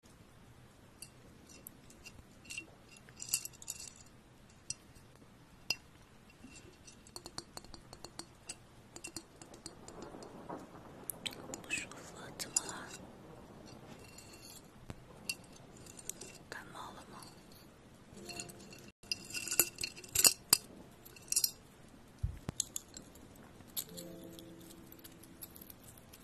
不舒服了，怎么了？感冒了吗？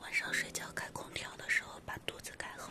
晚上睡觉开空调的时候，把肚子盖好。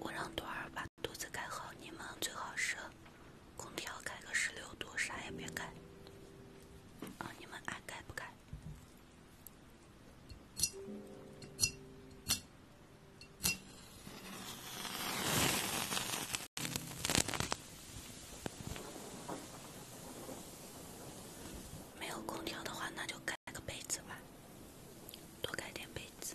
我让朵儿把肚子盖好，你们最好省。空调开个十六度，啥也别开。啊，你们爱开不开。没有空调的话，那就盖个被子吧，多盖点被子。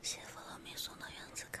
谢弗洛米送的原子卡。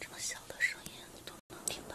这么小的声音都能听到。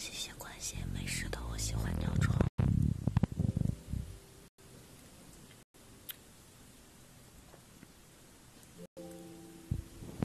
谢谢关心，没事的，我喜欢尿床。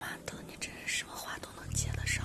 马德，你真是什么话都能接得上。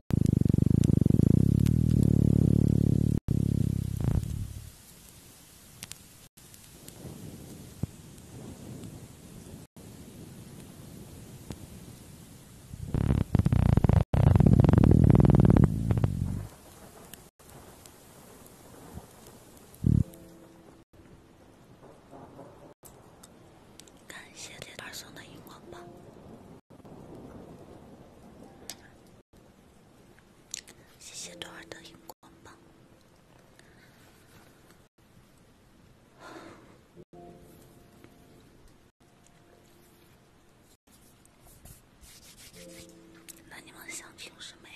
感谢铁板送的荧光棒。谢谢多尔的荧光棒。那你们想听什么呀？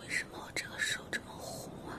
为什么我这个手这么红啊？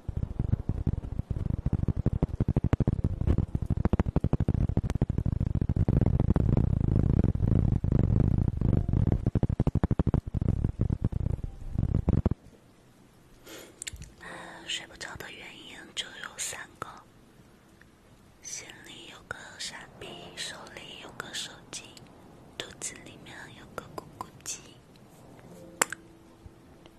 睡不着的原因就有三个：心里有个傻逼，手里有个手机，肚子里面有个公鸡。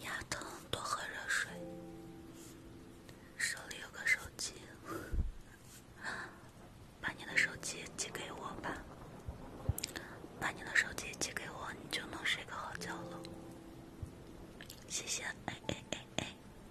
牙疼，多喝热水。手里有个手机，把你的手机寄给我吧。把你的手机寄给我，你就能睡个好觉了。谢谢。哎哎哎哎。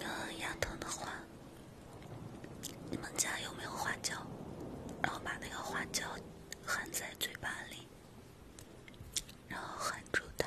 呃，牙疼的话，你们家有没有花椒？然后把那个花椒含在嘴巴里。然后喊住他。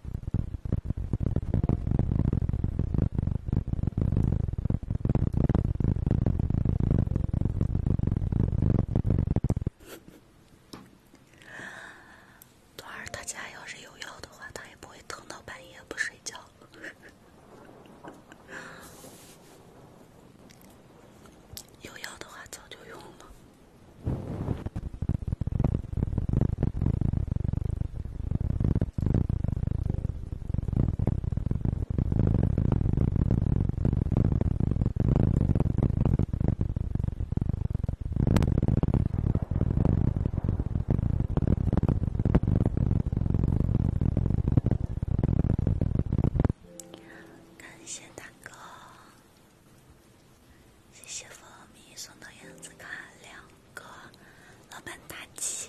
朵儿他家要是有药的话，他也不会疼到半夜不睡觉。有药的话，早就用了。感谢大哥。谢谢蜂蜜送到院子，卡两个，老板大姐。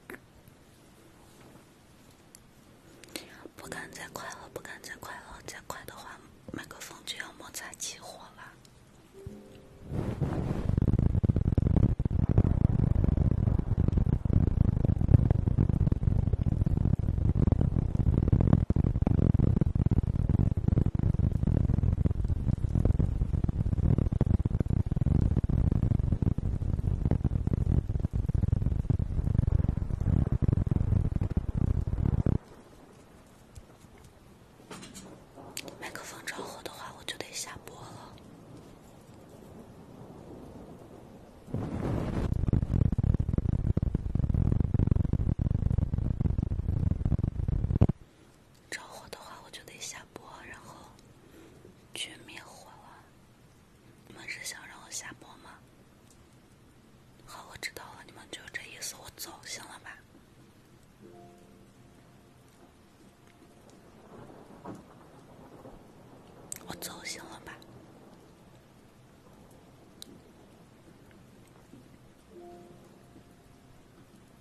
不敢再快了，不敢再快了，再快的话，麦克风就要摩擦起火了。麦克风着火的话，我就得下播了。着火的话，我就得下播，然后去灭火了。你们是想让我下播吗？好，我知道了，你们就这意思，我走，行了吧？我走，行了吧？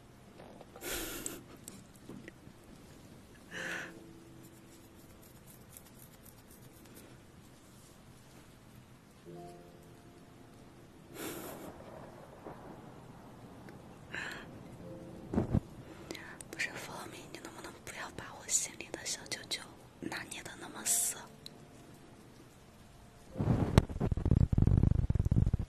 不是弗洛米，你能不能不要把我心里的小九九拿捏的那么死？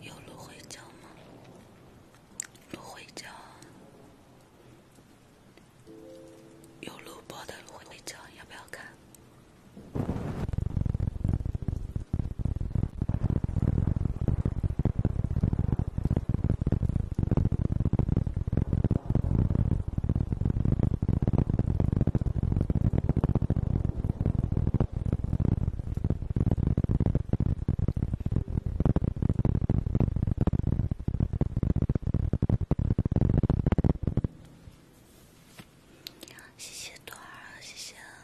有芦荟胶吗？芦荟胶有录播的芦荟胶，要不要看？谢谢朵儿，谢谢。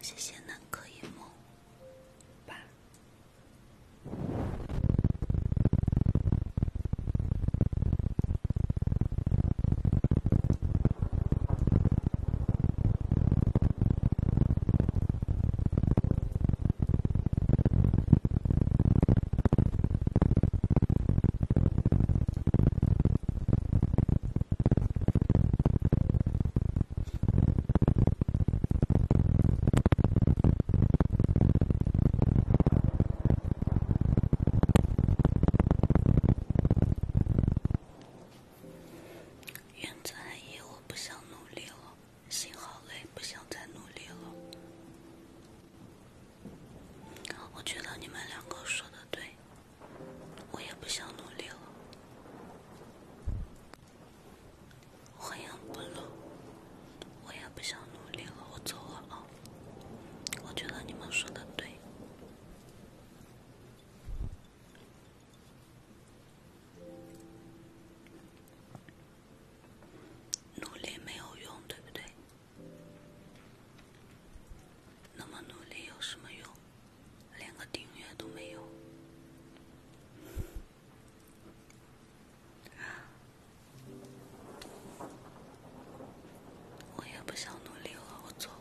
谢谢南柯一梦，吧。院子阿姨，我不想努力了，心好累，不想再努力了。我觉得你们两个说的对。我也不想努力了，欢迎菠萝。我也不想努力了，我走了我觉得你们说的对，努力没有用，对不对？那么努力有什么用？连个订阅都没有，我也不想努力了，我走了。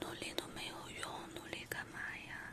努力都没有用，努力干嘛呀？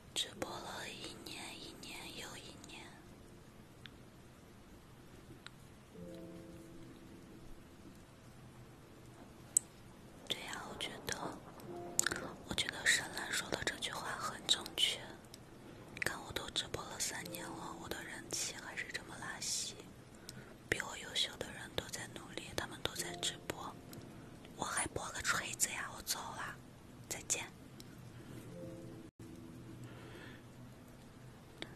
直播了一年，一年又一年。对呀，我觉得，我觉得沈兰说的这句话很正确。看，我都直播了三年了，我的人气还是这么拉稀。比我优秀的人都在努力，他们都在直播，我还播个锤子呀！我走啦。再见。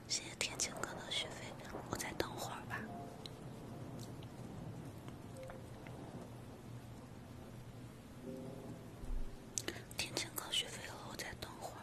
谢谢天晴哥的学费，我再等会儿吧。天晴哥学费了，我再等会儿。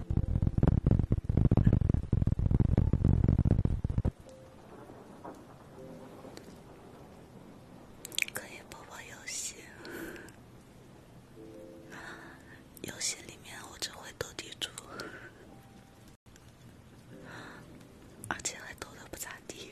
可以不玩游戏。游戏里面我只会斗地主，而且还斗的不咋地。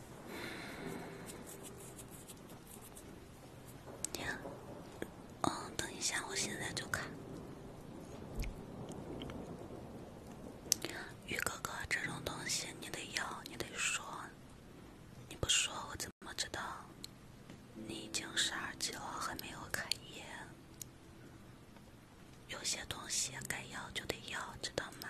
呀，哦，等一下，我现在就看。宇哥哥，这种东西你得要，你得说，你不说我怎么知道你已经十二级了还没有开业？有些东西该要就得要，知道吗？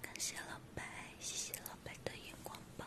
感谢老白，谢谢老白的眼光棒。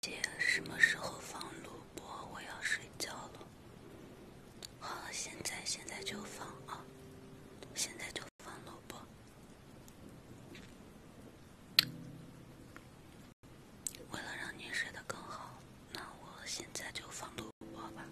姐，什么时候放录播？我要睡觉了。好，现在现在就放啊！现在就放录播。为了让你睡得更好，那我现在就放录播吧。